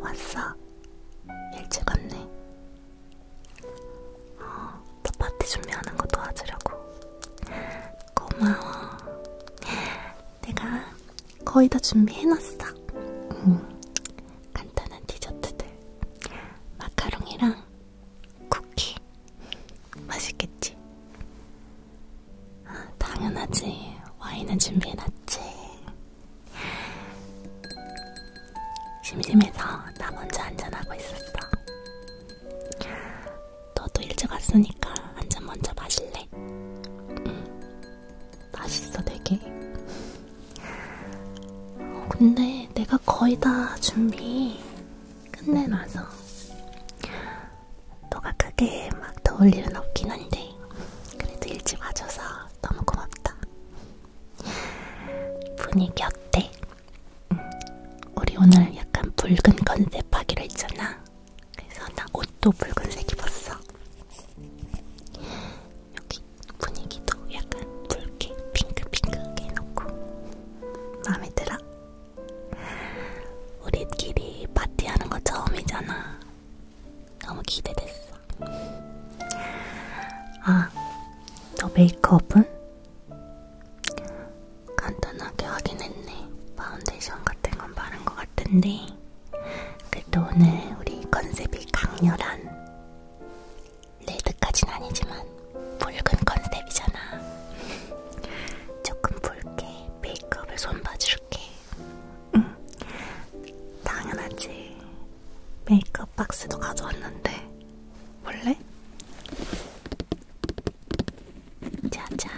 왔어. 일찍 왔네. 어, 너 파티 준비하는 거 도와주려고. 고마워. 내가 거의 다 준비해놨어. 음, 간단한 디저트들. 마카롱이랑 쿠키. 맛있겠지? 아, 당연하지. 와인은 준비해놨지. 심심해서 나 먼저 한잔하고 있었어. 너도 일찍 왔으니까 한잔 먼저 마실래? 응. 맛있어 되게. 어, 근데 내가 거의 다 준비 끝내놔서 너가 크게 막 더울 일은 없긴 한데 그래도 일찍 와줘서 너무 고맙다. 분위기 어때? 우리 오늘 약간 붉은 컨셉 하기로 했잖아. 그래서 나 옷도 붉은색 입었어. 여기 분위기도 약간 붉게 핑크핑크하게 해놓고 마음에 들어? 우리끼리 파티하는 거 처음이잖아. 너무 기대됐어. 아, 너 메이크업은? 간단하게 하긴 했네. 파운데이션 같은 건 바른 것 같은데. 그래도 오늘 우리 컨셉이 강렬한 레드까진 아니지만 붉은 컨셉이잖아. 조금 붉게 메이크업을 손봐줄게. 응. 당연하지. 메이크업 박스도 가져왔는데 볼래? 자자.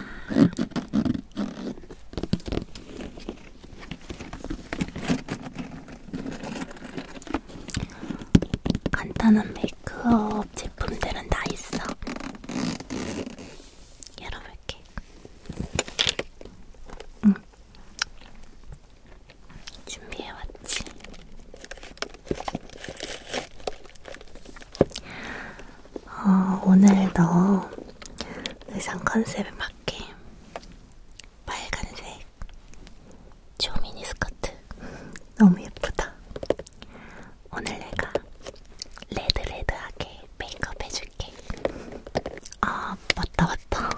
간단한 메이크업 제품들은 다 있어. 열어볼게. 응. 준비해왔지. 어, 오늘 너 의상 컨셉에 맞게 빨간색 조미니 스커트 너무 예쁘다. 오늘 내가 레드레드하게 메이크업 해줄게. 아 맞다 맞다.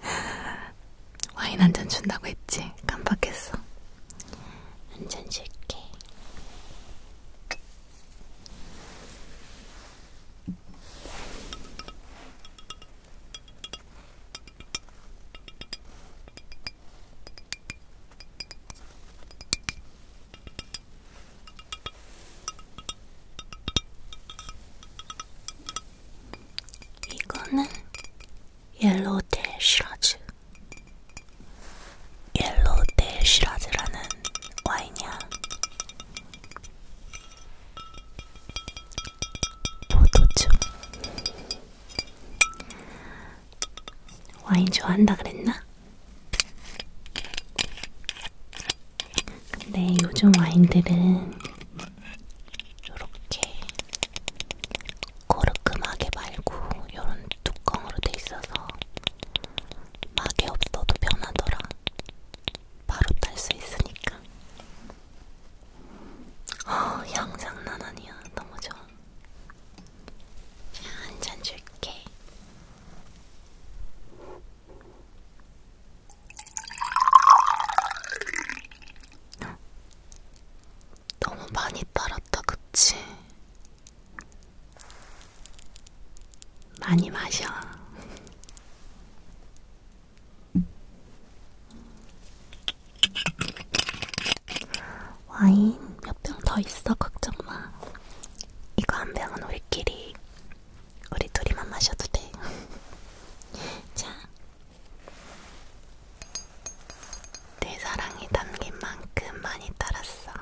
와인 한 잔 준다고 했지. 깜빡했어. 한 잔 줄게. 이거는 옐로우 델 시라즈. 옐로우 델 시라즈라는 와인이야. 포도주. 와인 좋아한다 그랬나? 근데 요즘 와인들은 요렇게 거르끔하게 말고 요런 뚜껑으로 돼 있어서 막이 없어도 편하더라. 바로 딸 수 있으니까. 어, 향 장난 아니야. 너무 좋아. 자, 한잔 줄게. 너무 많이 빨았다, 그치? 많이 마셔. 와인 몇 병 더 있어, 걱정 마. 이거 한 병은 우리끼리, 우리 둘이만 마셔도 돼. 자, 내 사랑이 담긴 만큼 많이 따랐어.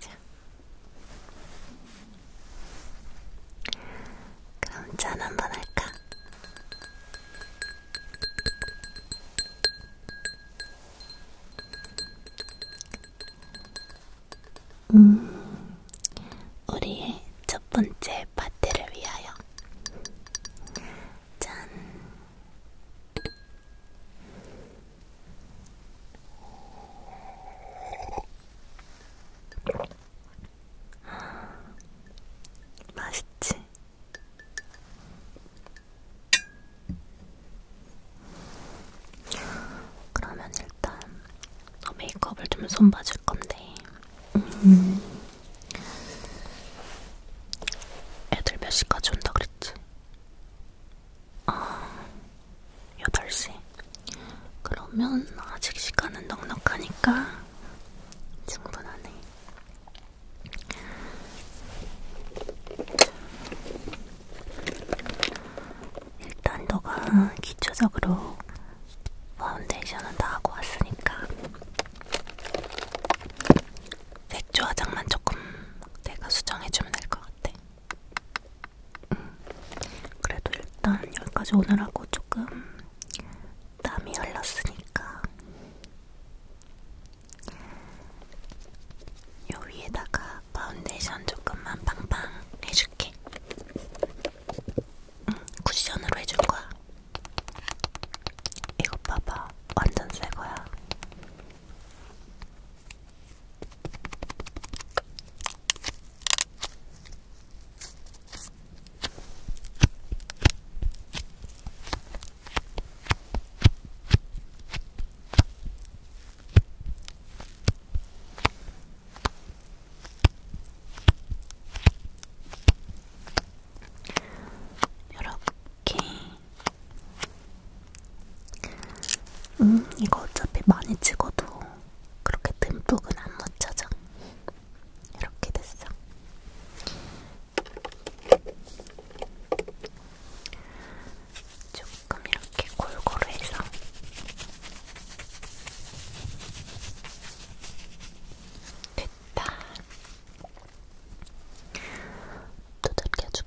자. 그럼 짠 한 번 할까? 음, 우리의 첫 번째 파티를 위하여. 짠! 맛있지? 그러면 일단 더 아, 메이크업을 좀 손봐줄 건데 음. 애들 몇 시까지 온다 그랬지? 아, 8시 그러면 아직 시간은 넉넉하니까 충분하네 일단 너가 기초적으로 파운데이션은 다 하고 왔으니까 색조 화장만 조금 내가 수정해주면 될 것 같아. 음. 그래도 일단 여기까지 오느라고 조금 땀이 흘렀으니까 요 위에다가 파운데이션 조금만 팡팡 해줄게. 쿠션으로 해줄 거야. 이거 봐봐, 완전 새 거야. 이렇게 음 이거 어차피 많이 찍어도 그렇게 듬뿍은 안 묻혀져 이렇게 됐어 조금 이렇게 골고루 해서 됐다. 두들겨줄게. 음.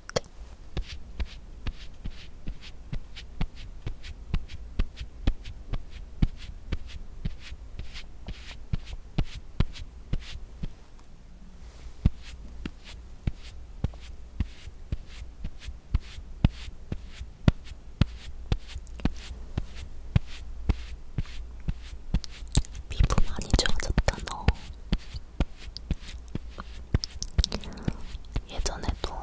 피부 많이 좋아졌다 너 예전에도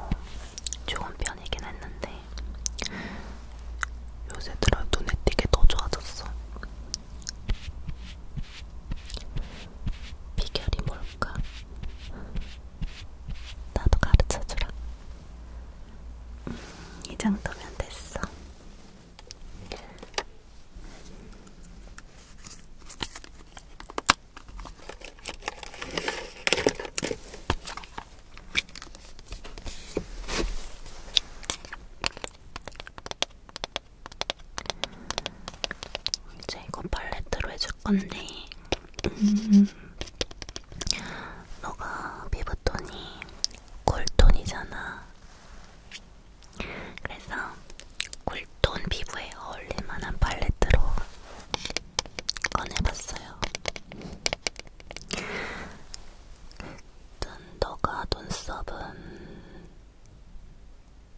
좋은 편이긴 했는데 요새 들어 눈에 띄게 더 좋아졌어 비결이 뭘까? 나도 가르쳐주라 이 정도면 됐어. 이제 이거 팔레트로 해줄 건데, 음, 너가 피부톤이 꿀톤이잖아. 그래서 꿀톤 피부에 어울릴만한 팔레트로 꺼내봤어요. 일단 너가 눈썹은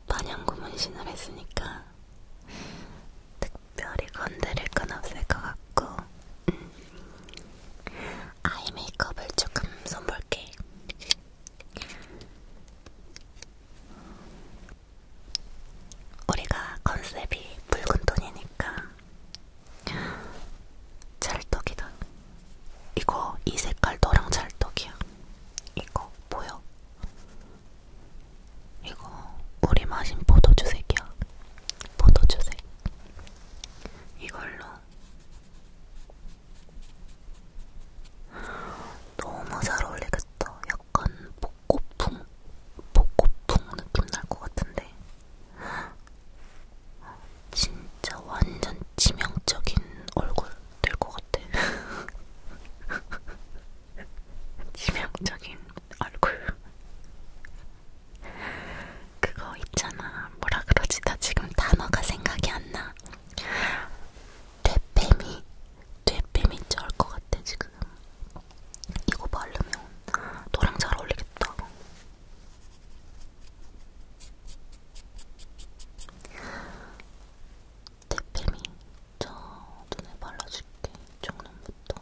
반영구 문신을 했으니까 별이 건드릴 건 없을 것 같고 음. 아이 메이크업을 조금 손볼게 우리가 컨셉이 붉은 톤이니까 찰떡이다 이거 이 색깔 너랑 찰떡이야 이거 보여? 이거 우리 마신 포도주색이야. 포도주색. 이걸로 너무 잘 어울리겠다. 약간 벚꽃풍, 벚꽃풍 느낌 날 것 같은데. 진짜 완전 치명적인 얼굴 될 것 같아. 치명적인 얼굴. 그거 있잖아. 뭐라 그러지? 나 지금 단어가 생각이 안 나. 되뱀이, 되뱀이 쩔것 같아, 지금. 이거 바르면 너랑 잘 어울리겠다. 대패미, 저 눈에 발라줄게. 쪽눈부터.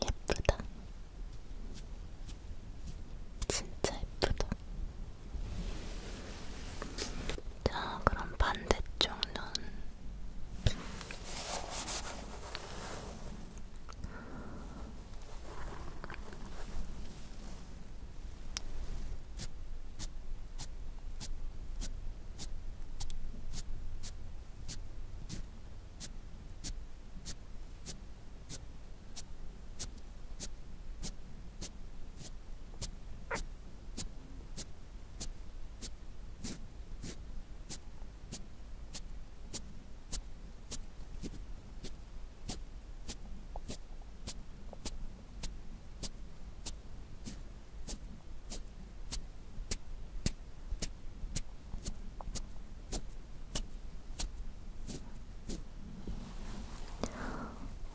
예쁘다. 진짜 예쁘다. 자, 그럼 반대쪽 눈.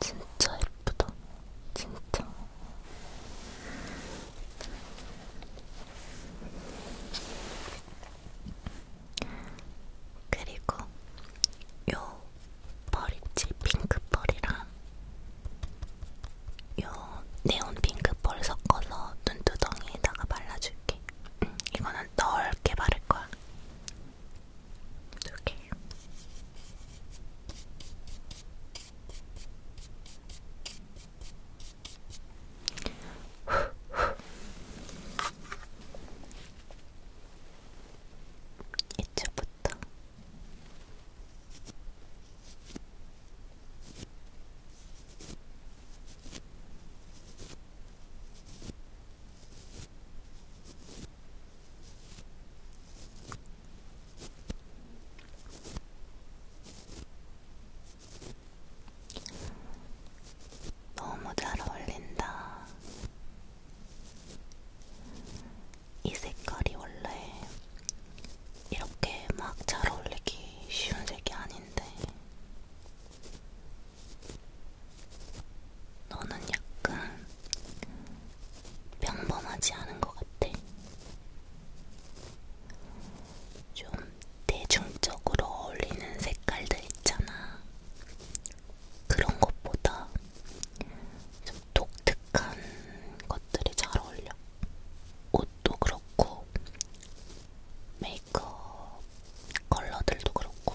진짜 예쁘다. 진짜. 그리고 요벌 있지? 핑크 벌이랑 요 네온 핑크 벌 섞어서 눈두덩이에다가 발라줄게. 응, 이거는 넓게 바를 거야. 이렇게. 이쯤부터 너무 잘 어울린다. 이 색깔이 원래 이렇게 막 잘 어울리기 쉬운 색이 아닌데, 너는 약간 평범하지 않은 것 같아. 좀 대중적으로 어울리는 색깔들 있잖아. 그런 것보다 좀 독특한 것들이 잘 어울려. 옷도 그렇고, 메이크업 컬러들도 그렇고.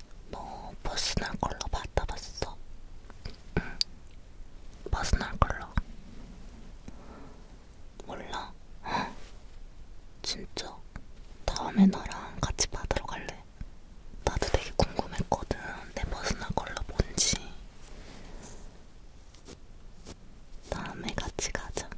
뭐 퍼스널 컬러 받아봤어? 응. 퍼스널 컬러 몰라? 헉? 진짜? 다음에 나랑 같이 받으러 갈래? 나도 되게 궁금했거든 내 퍼스널 컬러 뭔지 다음에 같이 가자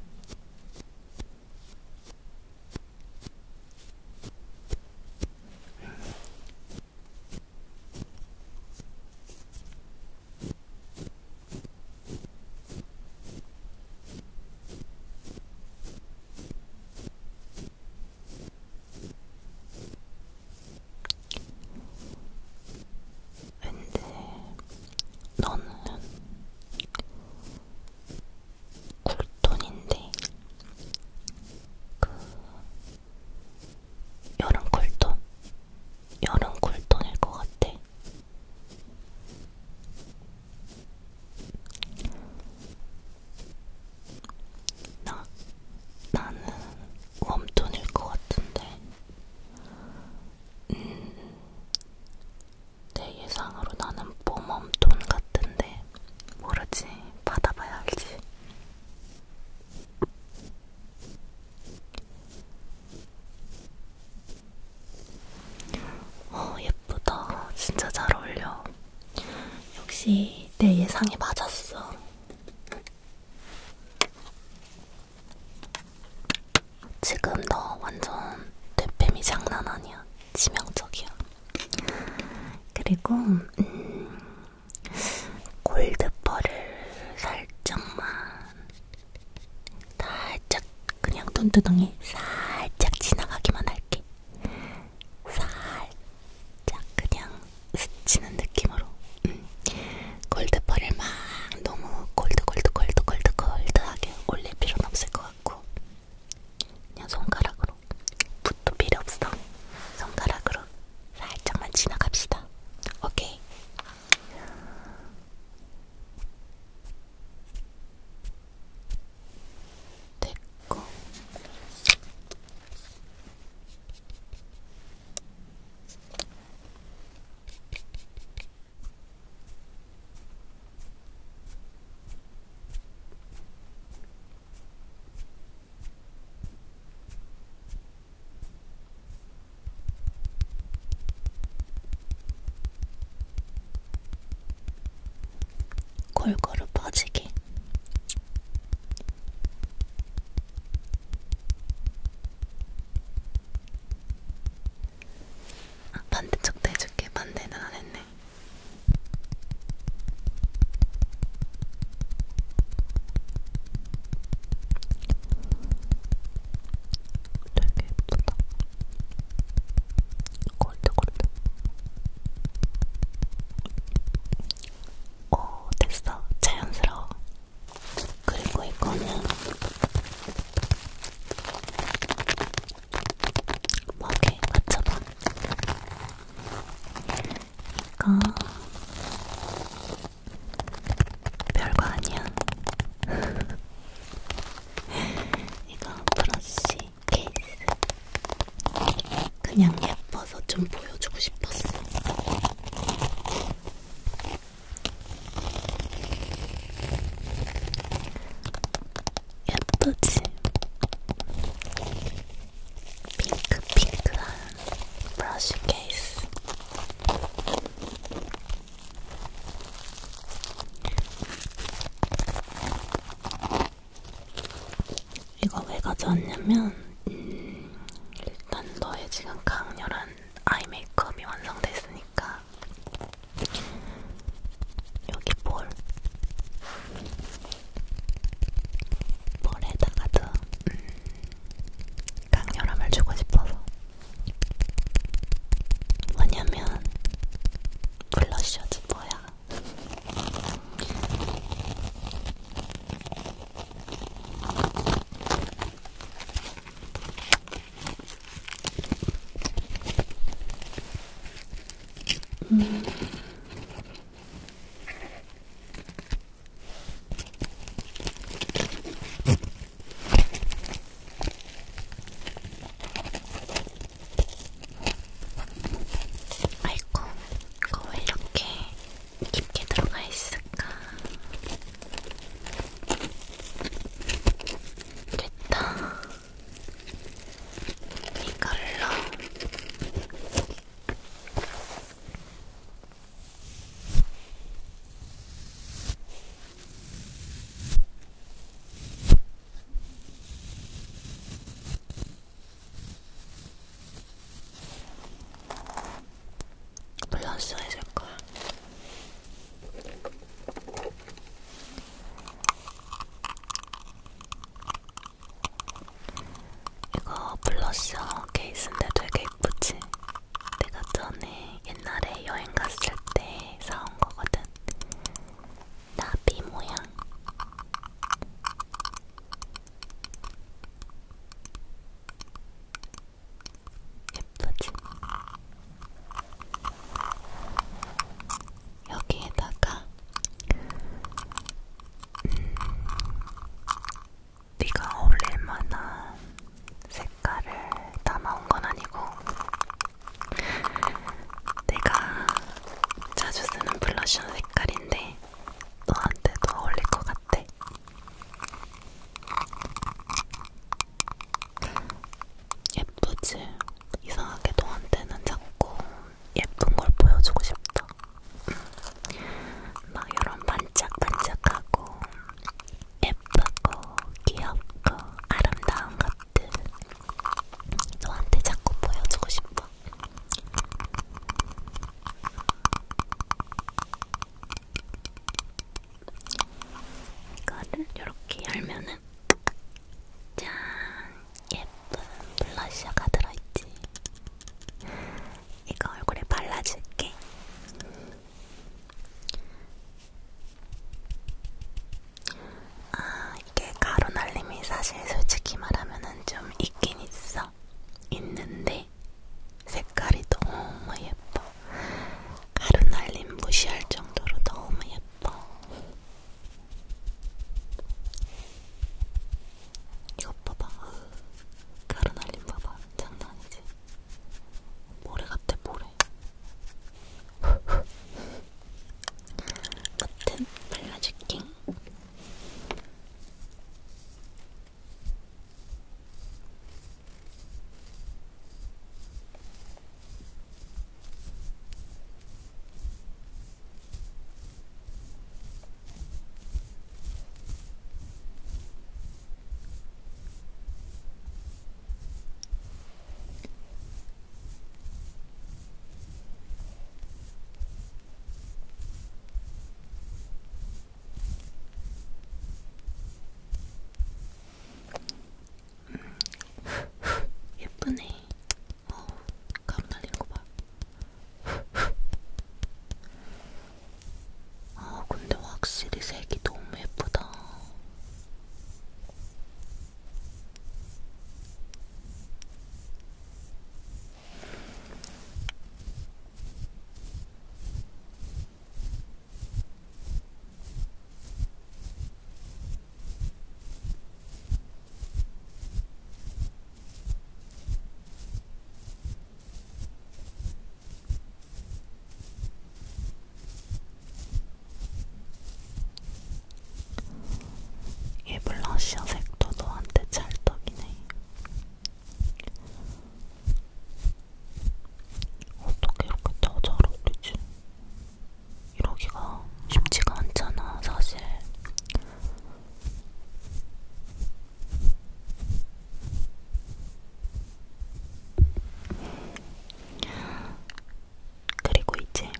근데 너는 쿨톤인데 그 여름 쿨톤 여름 쿨톤일 것 같아. 나 나는 웜톤일 것 같은데. 음, 내 예상으로 나는 봄웜톤 같은데 모르지. 받아봐야 알지. 어, 예쁘다. 진짜 잘 어울려. 역시 내 예상이 맞았어. 지금 너 완전 대팸이 장난 아니야. 치명적이야. 그리고 음, 골드펄을 살짝만 살짝 그냥 눈두덩이 살짝 지나가기만 할게. 살짝 그냥 스치는 느낌으로 음. 골드펄을 막 너무 골드 골드 골드 골드 골드하게 올릴 필요는 없을 것 같고 그냥 손가락으로 붓도 필요 없어. 손가락으로 살짝만 지나갑시다. 오케이. 됐고. 골고루 퍼지게. 아, 반대쪽도 해줄게. 반대는 안 했네. 되게 예쁘다. 골드골드. 오, 어, 됐어. 자연스러워. 그리고 이거는 먹이 맞춰봐. 이거 별거 아니야. 이거 브러쉬 케이스. 그냥 예뻐서 좀 보여주고 싶었어. 예쁘지? 핑크핑크한 브러쉬 케이스 이거 왜 가져왔냐면 음, 일단 너의 지금 강렬한 아이 메이크업이 완성됐으니까 여기 볼 볼에다가도 음, 강렬함을 주고 싶어서 뭐냐면 블러셔지 뭐야 음. 아이고, 이거 왜 이렇게 깊게 들어가 있을까? 됐다. 이걸로 블러셔 해줄 거야. 이거 블러셔 케이스인데 되게 예쁘지? 내가 전에 옛날에 여행 갔을 때 사온 거거든. 나비 모양. 예쁘지? 여기에다가 음, 네가 어울릴 만한 색깔을 담아온 건 아니고 내가 자주 쓰는 블러셔 색깔인데 너한테도 어울릴 것 같아. 예쁘지? 이상하게 너한테는 자꾸 예쁜 걸 보여주고 싶다. 막 이런 반짝반짝하고 예쁘고 귀엽고 아름다운 것들 너한테 자꾸 보여주고 싶어. 이거를 이렇게 열면은 안에는 짠 예쁜 블러셔가 들어있지. 이거 얼굴에 발라줄게. 아, 이게 가루 날림이 사실 솔직히 말하면은 좀 있긴 있어. 있는데 색깔이 너무 예뻐. 가루 날림 무시할 정도로 너무 예뻐. 이것 봐봐. 가루 날림 봐봐. 장난 아니지? 모래 같아, 모래. 버튼 발라줄게. 예쁘네. 어, 감 날리는 거 봐. 아, 근데 확실히 색이 너무 예쁘다. 이 블러셔 색도 너한테 찰떡이네. 어떻게 이렇게 다잘 어울리지? 이러기가 쉽지가 않잖아, 사실. 그리고 이제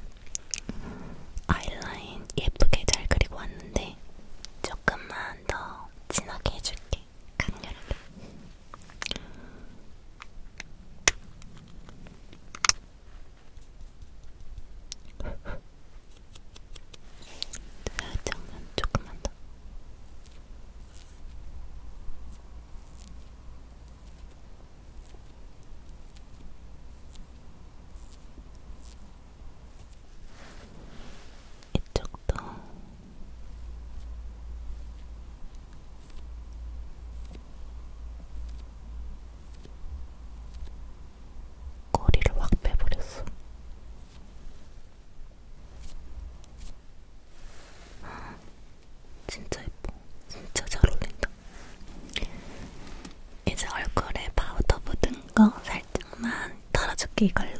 아이라인 예쁘게 잘 그리고 왔는데 조금만 더 진하게 해줄게. 강렬하게. 살짝만 조금만 더. 이쪽도 꼬리를 확 빼버렸어. 진짜 예뻐. 진짜 잘 어울린다. 이제 얼굴에 파우더 묻은 거 살짝만 털어줄게 이걸로.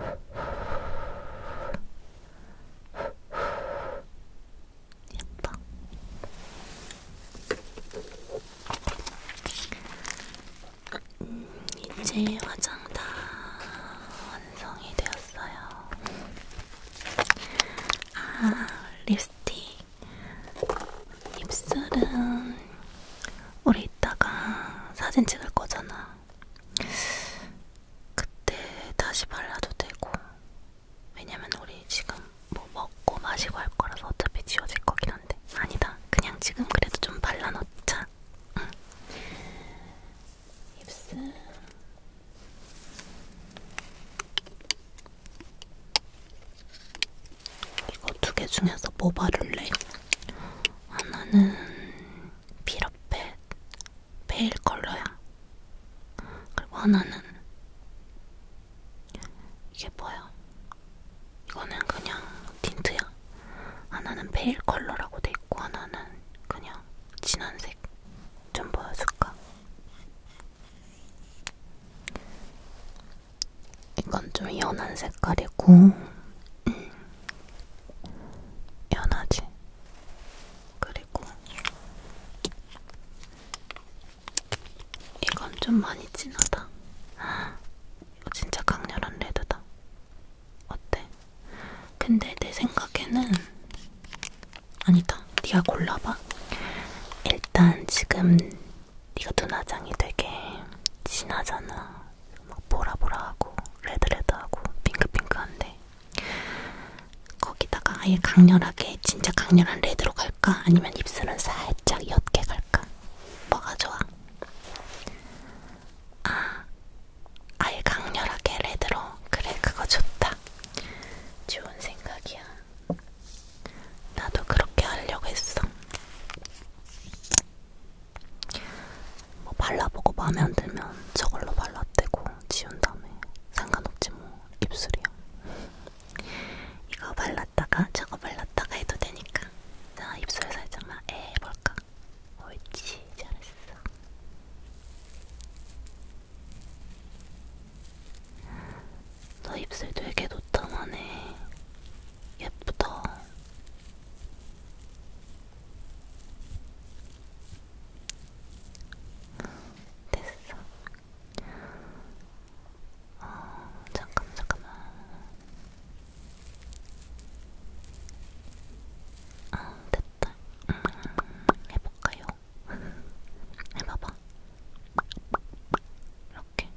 예뻐. 음, 이제 화장 다 완성이 되었어요. 아, 립스틱. 입술은 우리 이따가 사진 찍을 거잖아. 그때 다시 발라도 되고. 왜냐면 우리 지금 뭐 먹고 마시고 할 거라서 어차피 지워질 거긴 한데. 아니다. 그냥 지금 그래도 좀 발라놓자. 응. 입술. 이거 두 개 중에서 뭐 바를래? 하나는 피라펫 페일 컬러야. 그리고 하나는 이게 뭐야? 이거는 그냥 틴트야. 하나는 페일 컬러라고 돼 있고 하나는 그냥 진한색. 좀 보여줄까? 이건 좀 연한 색깔이고, 음. 연하지. 그리고 이건 좀 많이 진하다. 이거 진짜 강렬한 레드다. 어때? 근데 내 생각에는 아니다. 네가 골라봐. 일단 지금 네가 눈화장이 되게 진하잖아. 막 보라보라하고 레드레드하고 핑크핑크한데 거기다가 아예 강렬하게 진짜 강렬한 레드로 갈까? 아니면 입술은 살짝 옅게 갈까? 뭐가 좋아? 아 아예 강렬하게 레드로 그래 그거 좋다 좋은 생각이야 나도 그렇게 하려고 했어 뭐 발라보고 마음에 안 들면 저걸로 발라대고 지운 다음에 상관없지 뭐 입술이야 이거 발랐다가 저거 발랐다가 해도 되니까 자 입술 살짝만 해볼까 옳지 잘했어 너 입술 되게 노참하네. 예쁘다. 됐어. 어, 잠깐만, 잠깐만. 아, 됐다. 음, 해볼까요? 해봐봐. 이렇게.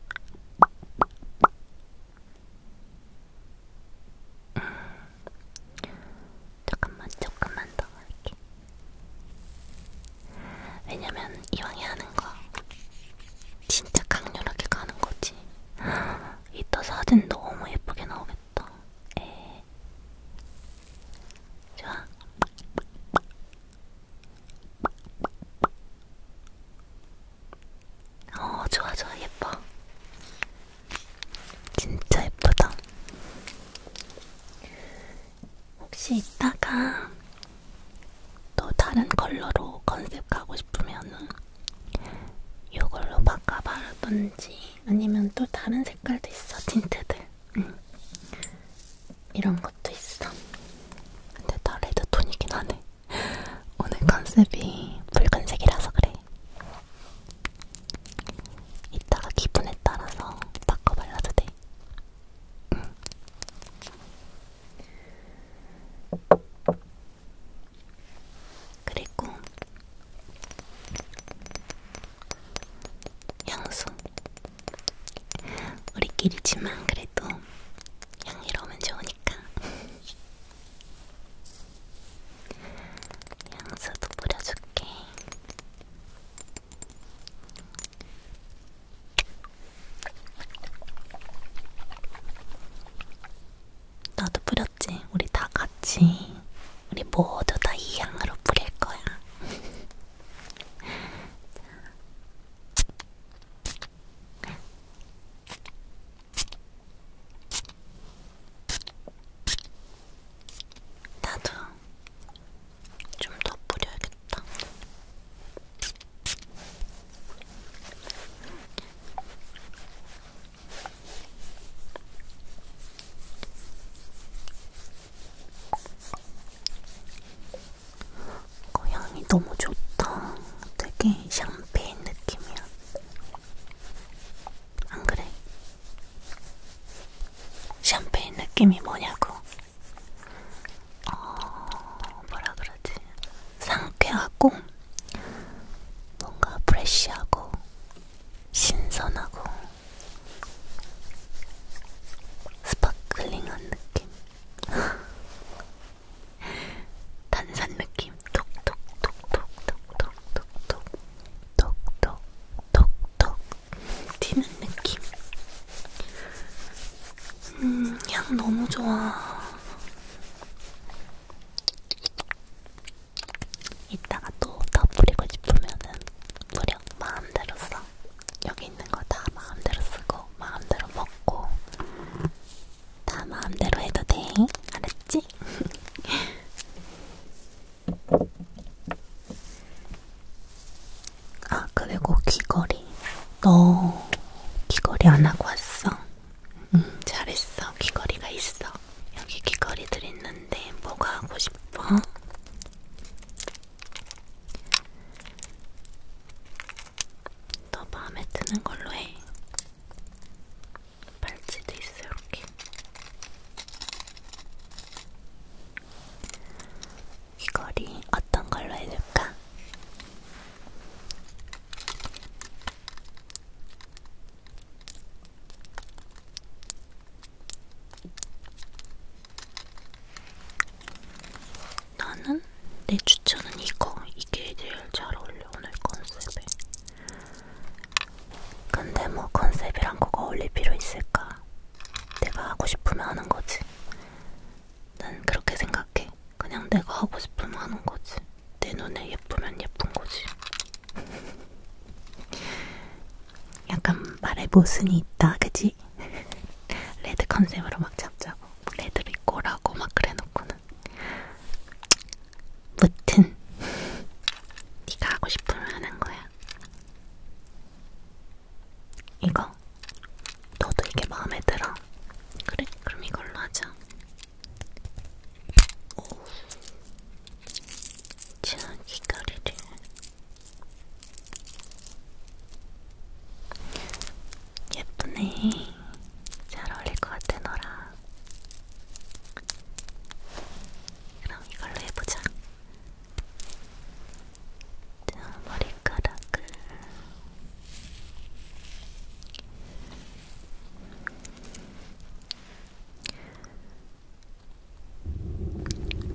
음. 조금만, 조금만 더 할게. 왜냐면 이왕에 하는 거 진짜 강렬하게 가는 거지. 이따 사진 너무 예쁘게 나오겠다. 에 좋아. 어, 좋아, 좋아, 예뻐. 진짜 예쁘다. 혹시 이따가 또 다른 컬러로 컨셉 가고 싶으면은 이걸로 바꿔 바라던지 아니면 또 다른 색깔도 있어 틴트들 응. 이런 것도 있어 근데 다 레드톤이긴 하네 오늘 컨셉이 붉은색이라서 그래 이따가 기분에 따라서 바꿔 발라도 돼 응. 그리고 향수 우리끼리지만 그래도 향이로우면 좋으니까 향수도 뿌려줄게 나도 뿌려 뿌렸지? 우리 다 같이. 우리 모두 다 이 향으로 뿌릴 거야. 나도 좀 더 뿌려야겠다. 그 향이 너무 좋다. 되게 샴페인 느낌이야. 안 그래? 샴페인 느낌이 뭐냐고? 어, 뭐라 그러지? 상쾌하고, 뭔가 프레쉬하고, 신선하고, 스파클링한 느낌? 단산 느낌? 톡톡톡톡톡톡톡톡톡톡톡톡 튀는 느낌? 음, 향 너무 좋아. 이따가 또더 뿌리고 싶으면은 무려 마음대로 써. 여기 있는 거 다 마음대로 쓰고 마음대로 먹고 다 마음대로 해도 돼. 알았지? 아 그리고 귀걸이. 너 귀걸이 안 하고 왔어. 응, 잘했어. 귀걸이가 있어. 여기 귀걸이들 있는데 뭐가 하고 싶어? 너 마음에 드는 걸로 해. 팔찌도 있어 이렇게. 귀걸이 어떤 걸로 해줄까? 나는 내 추천은 이거. 이게 제일 잘 어울려, 오늘 컨셉에. 근데 뭐 컨셉이랑 그거 어울릴 필요 있을까? 내가 하고 싶으면 하는 거지. 난 그렇게 생각해. 그냥 내가 하고 싶으면 하는 거지. 내 눈에 예쁘면 예쁜 거지. 약간 말에 모순이 있다, 그지? 레드 컨셉으로 막 잡자고. 레드로 입고라고 막 그래놓고는. 무튼, 네가 하고 싶으면 하는 거야. 이거, 너도 이게 마음에 들어. 그래, 그럼 이걸로 하자. 오, 자기거리를 예쁘네. 잘 어울릴 것 같아, 너랑. 그럼 이걸로 해보자. 자, 머리카락을.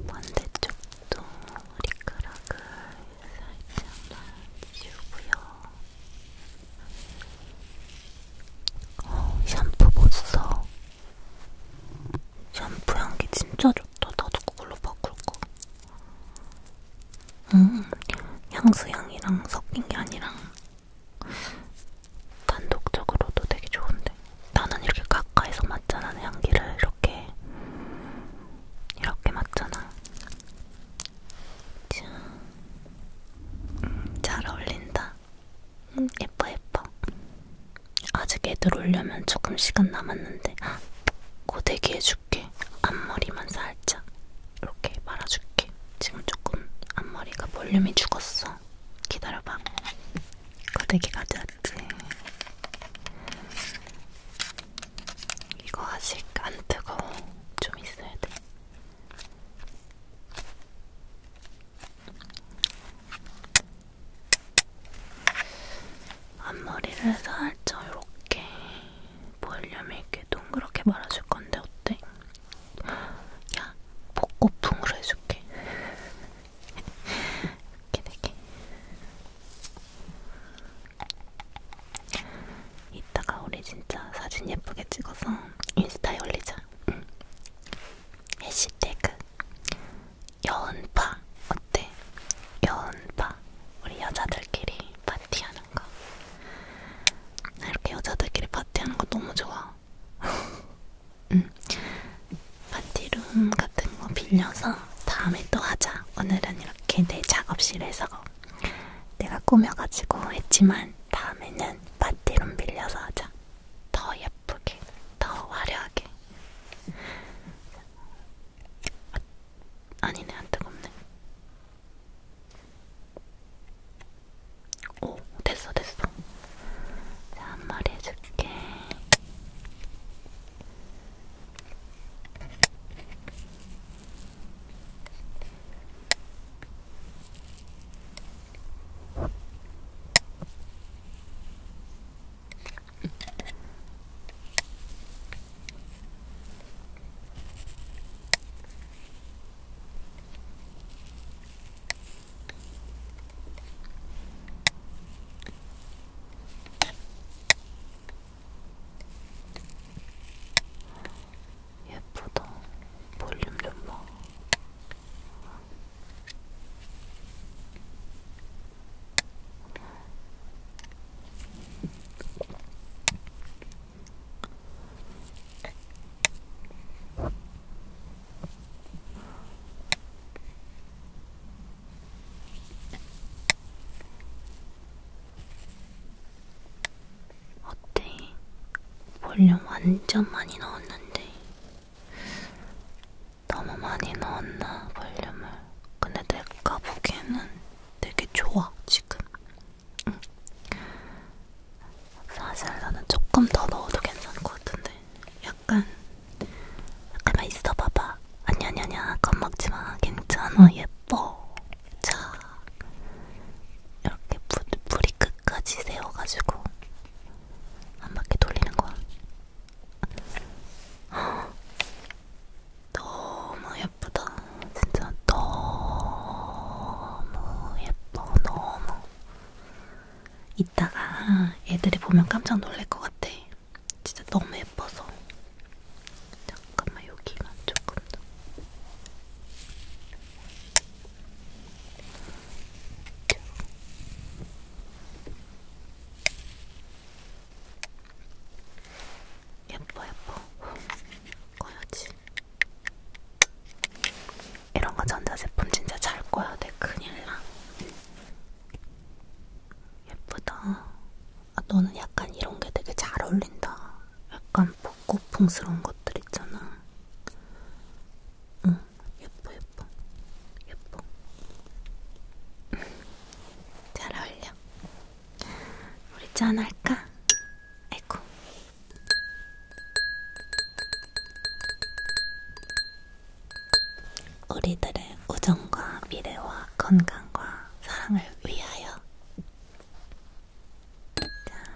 반대쪽도 머리카락을 살짝만 지우고요. 어, 샴푸 못 써. 샴푸 향기 진짜 좋다. 나도 그걸로 바꿀 거. 음, 향수향이랑 섞인 게 아니라 단독적으로도 되게 좋은데 나는 이렇게 가까이서 맡잖아 향기를 이렇게 이렇게 맡잖아 자, 음, 잘 어울린다 음, 예뻐 예뻐 아직 애들 오려면 조금 시간 남았는데 고데기 해줄게 앞머리만 살짝 이렇게 말아줄게 지금 조금 앞머리가 볼륨이 죽었어 기다려봐. 거대기 가져왔지. 이거 아직 안 뜨거워. 좀 있어야 돼. 앞머리를 살짝 이렇게 볼륨 있게 동그랗게 말아줄 건데 어때? 야, 복고풍으로 해줄게. 이렇게 되게. 네 이따가 우리 진짜 사진 예쁘게 찍어서 인스타에 올리자. 응. 해시태그 여운파 어때? 여운파 우리 여자들끼리 파티하는 거. 나 이렇게 여자들끼리 파티하는 거 너무 좋아. 응. 파티룸 같은 거 빌려서 다음에 또 하자. 오늘은 이렇게 내 네 작업실에서 내가 꾸며가지고 했지만 다음에는 파티룸 빌려서 하자. 더 예쁘게, 더 화려하게. 아, 아니네, 안 뜨겁네. 오, 됐어, 됐어. 자, 한 마리 해줄게. 예쁘다. 볼륨 좀 봐. 어때? 볼륨 완전 많이 넣었는데 너무 많이 넣었나 볼륨을 근데 내가 보기에는 되게 좋아 지금 응. 사실 나는 조금 더 넣어도 괜찮을 것 같은데 약간 잠깐만 아, 있어봐봐 아니 아니 아니야 겁먹지마 괜찮아 예뻐 자 이렇게 부, 뿌리 끝까지 세워가지고 한 바퀴 돌리는 거야 너무 예쁘다 진짜 너무 예뻐 너무 이따가 애들이 보면 깜짝 놀랄 것 같아. 진짜 너무 예뻐서. 잠깐만 여기만 조금 더. 예뻐 예뻐 꺼야지 이런 거 전자제품 진짜 잘 꺼야 돼. 큰일 나. 예쁘다. 아, 너는 약간 이런 게 되게 잘 어울린다. 약간 벚꽃풍스러운 것들 있잖아. 응, 예뻐, 예뻐. 예뻐. 잘 어울려. 우리 짠할까? 아이고. 우리들의 우정과 미래와 건강과 사랑을 위하여 자.